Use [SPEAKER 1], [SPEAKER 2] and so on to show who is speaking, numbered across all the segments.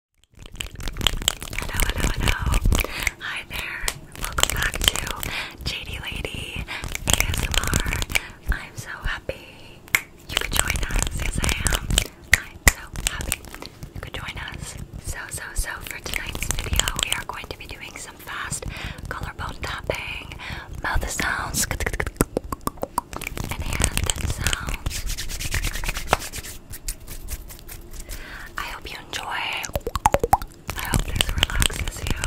[SPEAKER 1] Hello, hello, hello. Hi there. Welcome back to JD Lady ASMR. I'm so happy you could join us. Yes, I am. I'm so happy you could join us. So, so, so for tonight's video, we are going to be doing some fast colorboard tapping, mouth sounds, and hand sounds. I hope you enjoy. I hope this relaxes you.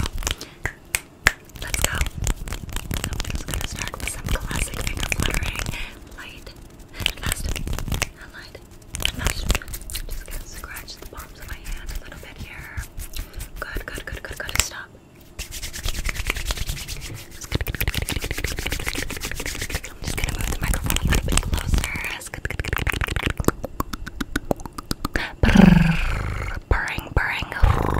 [SPEAKER 1] Let's go. So I'm just gonna start with some classic finger fluttering. Light, light, just gonna scratch the palms of my hand a little bit here. Good, good, good, good, good. Stop. I'm just gonna move the microphone a little bit closer. Purring, purring. Color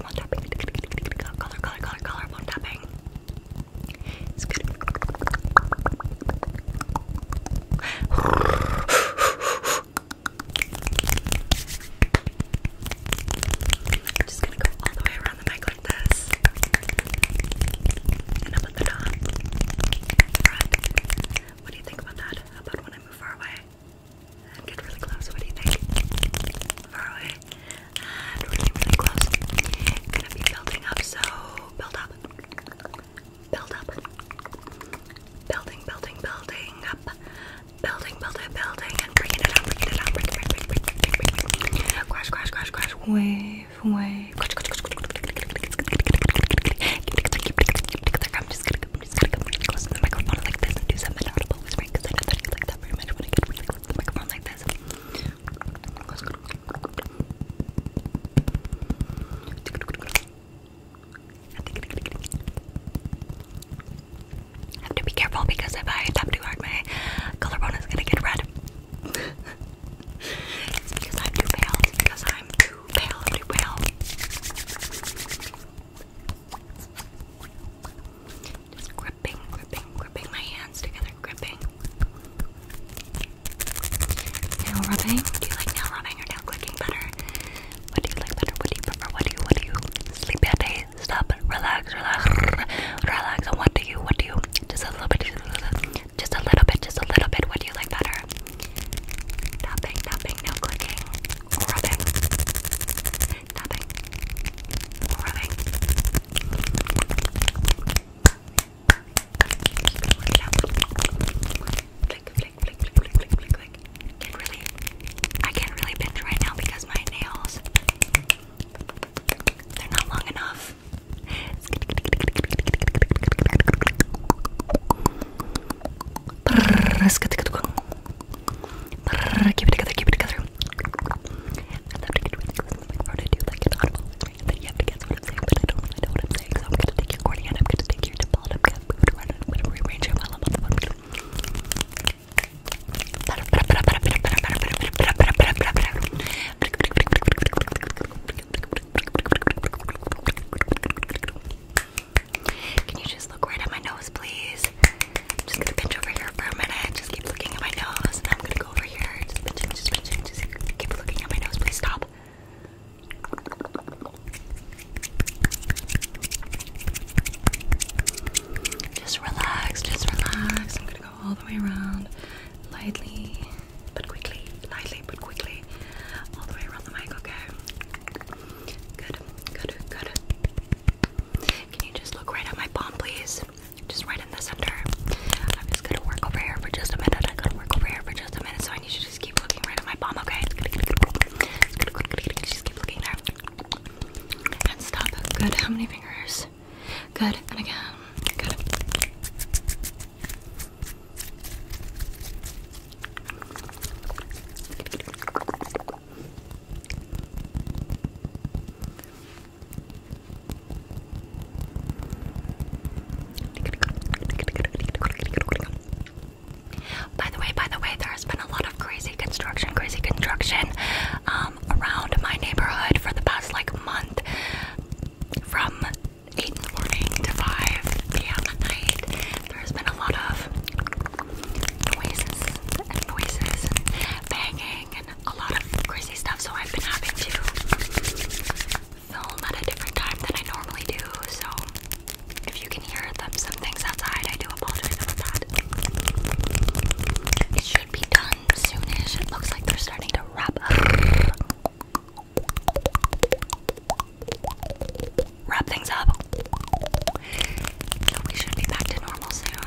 [SPEAKER 1] one tapping. Color, color, color, color one tapping. It's good. I'm just gonna go all the way around the mic like this. And up at the top. What do you think about that? about when I move far away? And get really close. What do you think? Far away. And really, really close. Gonna be building up, so build up build up. Building, building, building up. Building, building, building, and bringing it up, bringing it up, bring, bring, bring, bring, bring, bring, bring. Crash, crash, crash, crash. Wave, wave. Crash, crash, crash, crash. I'm just gonna, I'm just gonna come really close to the microphone like this and do some inaudible whispering because I know that you like that very much when I get really close to the microphone like this. Close, close. I have to be careful because if I tap too hard, my collarbone is gonna get red. it's because I'm too pale. It's because I'm too pale. Too pale. gripping, gripping, gripping my hands together, gripping. Nail rubbing? Do you like nail rubbing or nail clicking better? What do you like better? What do you prefer? What do you, what do you? Sleepy at Stop, relax, relax, relax. And what do you, what do you? Just a little bit, just a little bit, just a little bit, What do you like better? Tapping, tapping, nail clicking, rubbing? Tapping, rubbing? Keep it Can't really, I can't really pinch right now because my nails, they're not long enough. together, keep it together. I'm gonna take your cornea and I'm gonna take your dimple and i I'm gonna rearrange it while I'm on the phone. Can you just look right at my nose, please? I'm just gonna pinch over here for a minute. Just keep looking at my nose, just relax, just relax. I'm gonna go all the way around, lightly but quickly, lightly but quickly, all the way around the mic. Okay. Good, good, good. Can you just look right at my palm, please? just right in the center. I'm just gonna work over here for just a minute. I gotta work over here for just a minute, so I need you to just keep looking right at my palm, okay? Just keep looking there. And stop. Good. How many fingers? Good. And again. Good. By the way, by the way, there's been a lot of crazy construction, crazy construction um, around my neighborhood for the past like month from 8 in the morning to 5 p.m. at night. There's been a lot of noises and noises banging and a lot of crazy stuff, so I've been having to film at a different time than I normally do. So if you can hear some things outside, I do apologize about that. It should be done soonish. It looks like they're starting to wrap up. Wrap things up. we should be back to normal soon.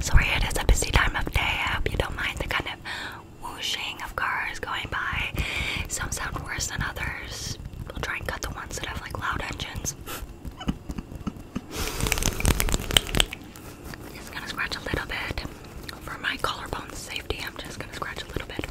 [SPEAKER 1] Sorry, it is a busy time of day. I hope you don't mind the kind of whooshing of cars going by. Some sound worse than others. We'll try and cut the ones that have like loud engines. just gonna scratch a little bit. For my collarbone's safety, I'm just gonna scratch a little bit.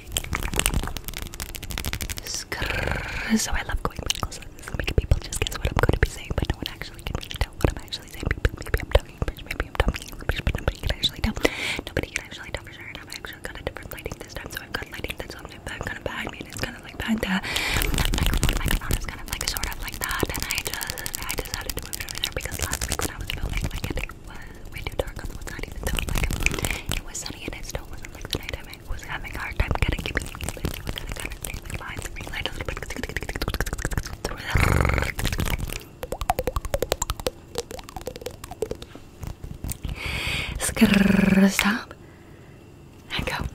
[SPEAKER 1] so I love going really close this and making people just guess what I'm going to be saying, but no one actually can really tell what I'm actually saying. Maybe I'm talking maybe I'm talking English, but nobody can actually tell. Nobody can actually tell for sure. And I've actually got a different lighting this time, so I've got lighting that's on kind of behind me, and it's kind of like behind the microphone. My microphone is kind of like sort of like that, and I just I decided to put it over there because last week when I was filming, like it was way too dark on the woods, not even though like it, it was sunny and it still wasn't like the night I was having a hard time getting giving me like a little bit. Stop and go.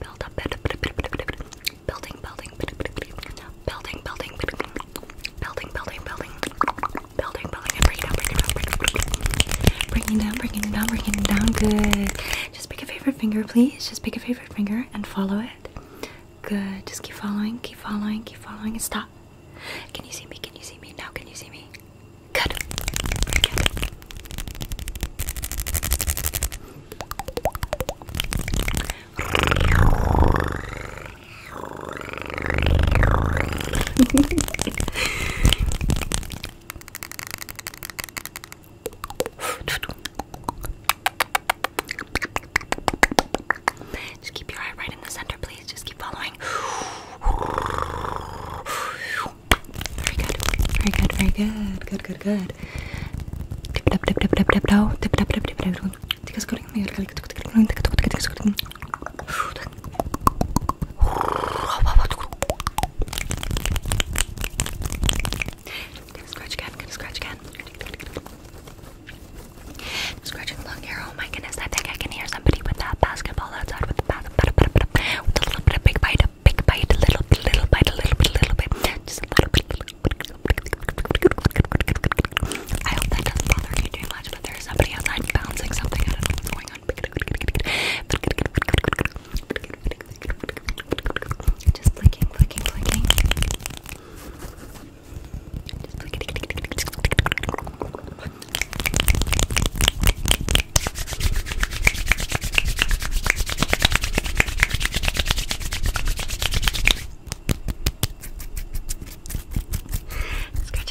[SPEAKER 1] Build up, building, building, building, building, building, building, building, building, building, and break it down, break it down, break it down, breaking down, breaking it down, breaking it down. Good. Just pick a favorite finger, please. Just pick a favorite finger and follow it. Good. Just keep following, keep following, keep following, and stop. Can you see me? Can you see me now? Can you see me? Good. Just keep your eye right in the center, please. Just keep following going. Very good. Very good. Very good. Good. Good. Good. Tip tap tap tap tap tap tap tip tap tap tip tap. Take a screen. Take a screen. Scratch again. Scratch again. Scratch Oh my goodness, I think I can hear somebody with that basketball outside with a little bit of big bite, a big bite, a little bit, little bite, a little bit, little bit, I hope that doesn't bother you too much, but there's somebody outside bouncing something. I don't know what's going on. Just flicking, flicking, flicking. Scratching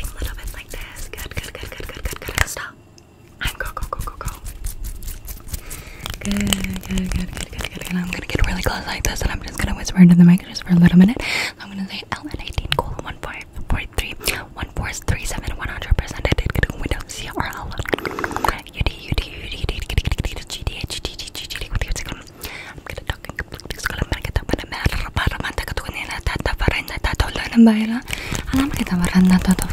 [SPEAKER 1] a little bit like this. Good, good, good, good, good, good, good. Stop. I'm go, go, go, go, go. good, good, good, good, good, good. I'm gonna get really close like this, and I'm just gonna whisper into the mic just for a little minute. I'm gonna say LN18 colon 143 1437 100% I did get a window CRL UD UD UD UD GDH GDH with you second I'm gonna talk in complete school I'm gonna get up and I'm gonna get up and I'm gonna get up and I'm gonna get up and I'm gonna get up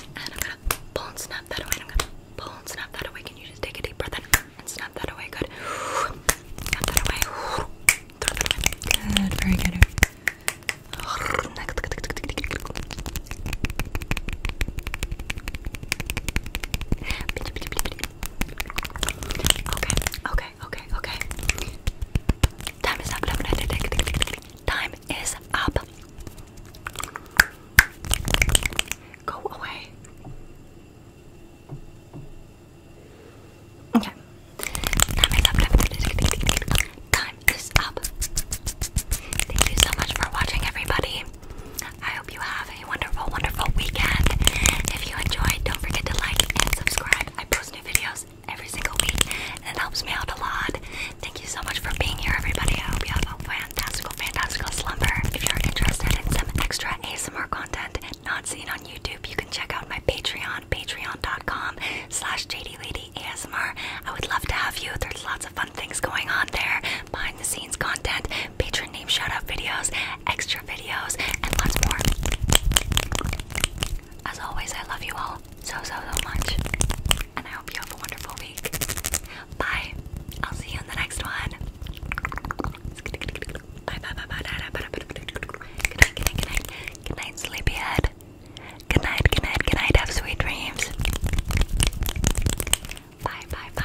[SPEAKER 1] and I'm gonna pull and snap that away. And pull and snap that away. Can you just take a deep breath and snap that away? Good. Snap that away. Good. Very good. Okay. Okay. Okay. Okay. Time is up. Time is up. Go away. Okay. Time is up. Thank you so much for watching, everybody. I hope you have a wonderful, wonderful weekend. If you enjoyed, don't forget to like and subscribe. I post new videos every single week, it helps me out a lot. Thank you so much for being here, everybody. I hope you have a fantastical, fantastical slumber. If you're interested in some extra ASMR content not seen on YouTube, you can check out my Patreon, patreon.com slash jd lady ASMR. I would love to have you. There's lots of fun things going on there, behind the scenes content, patron name shout out videos, extra videos, and lots more. As always, I love you all so, so, so much. And I hope you have a wonderful week. Bye. I'll see you in the next one. Bye, bye, bye, Good night, sleepyhead. Good night, good night, good night. Have sweet dreams. Bye, bye, bye.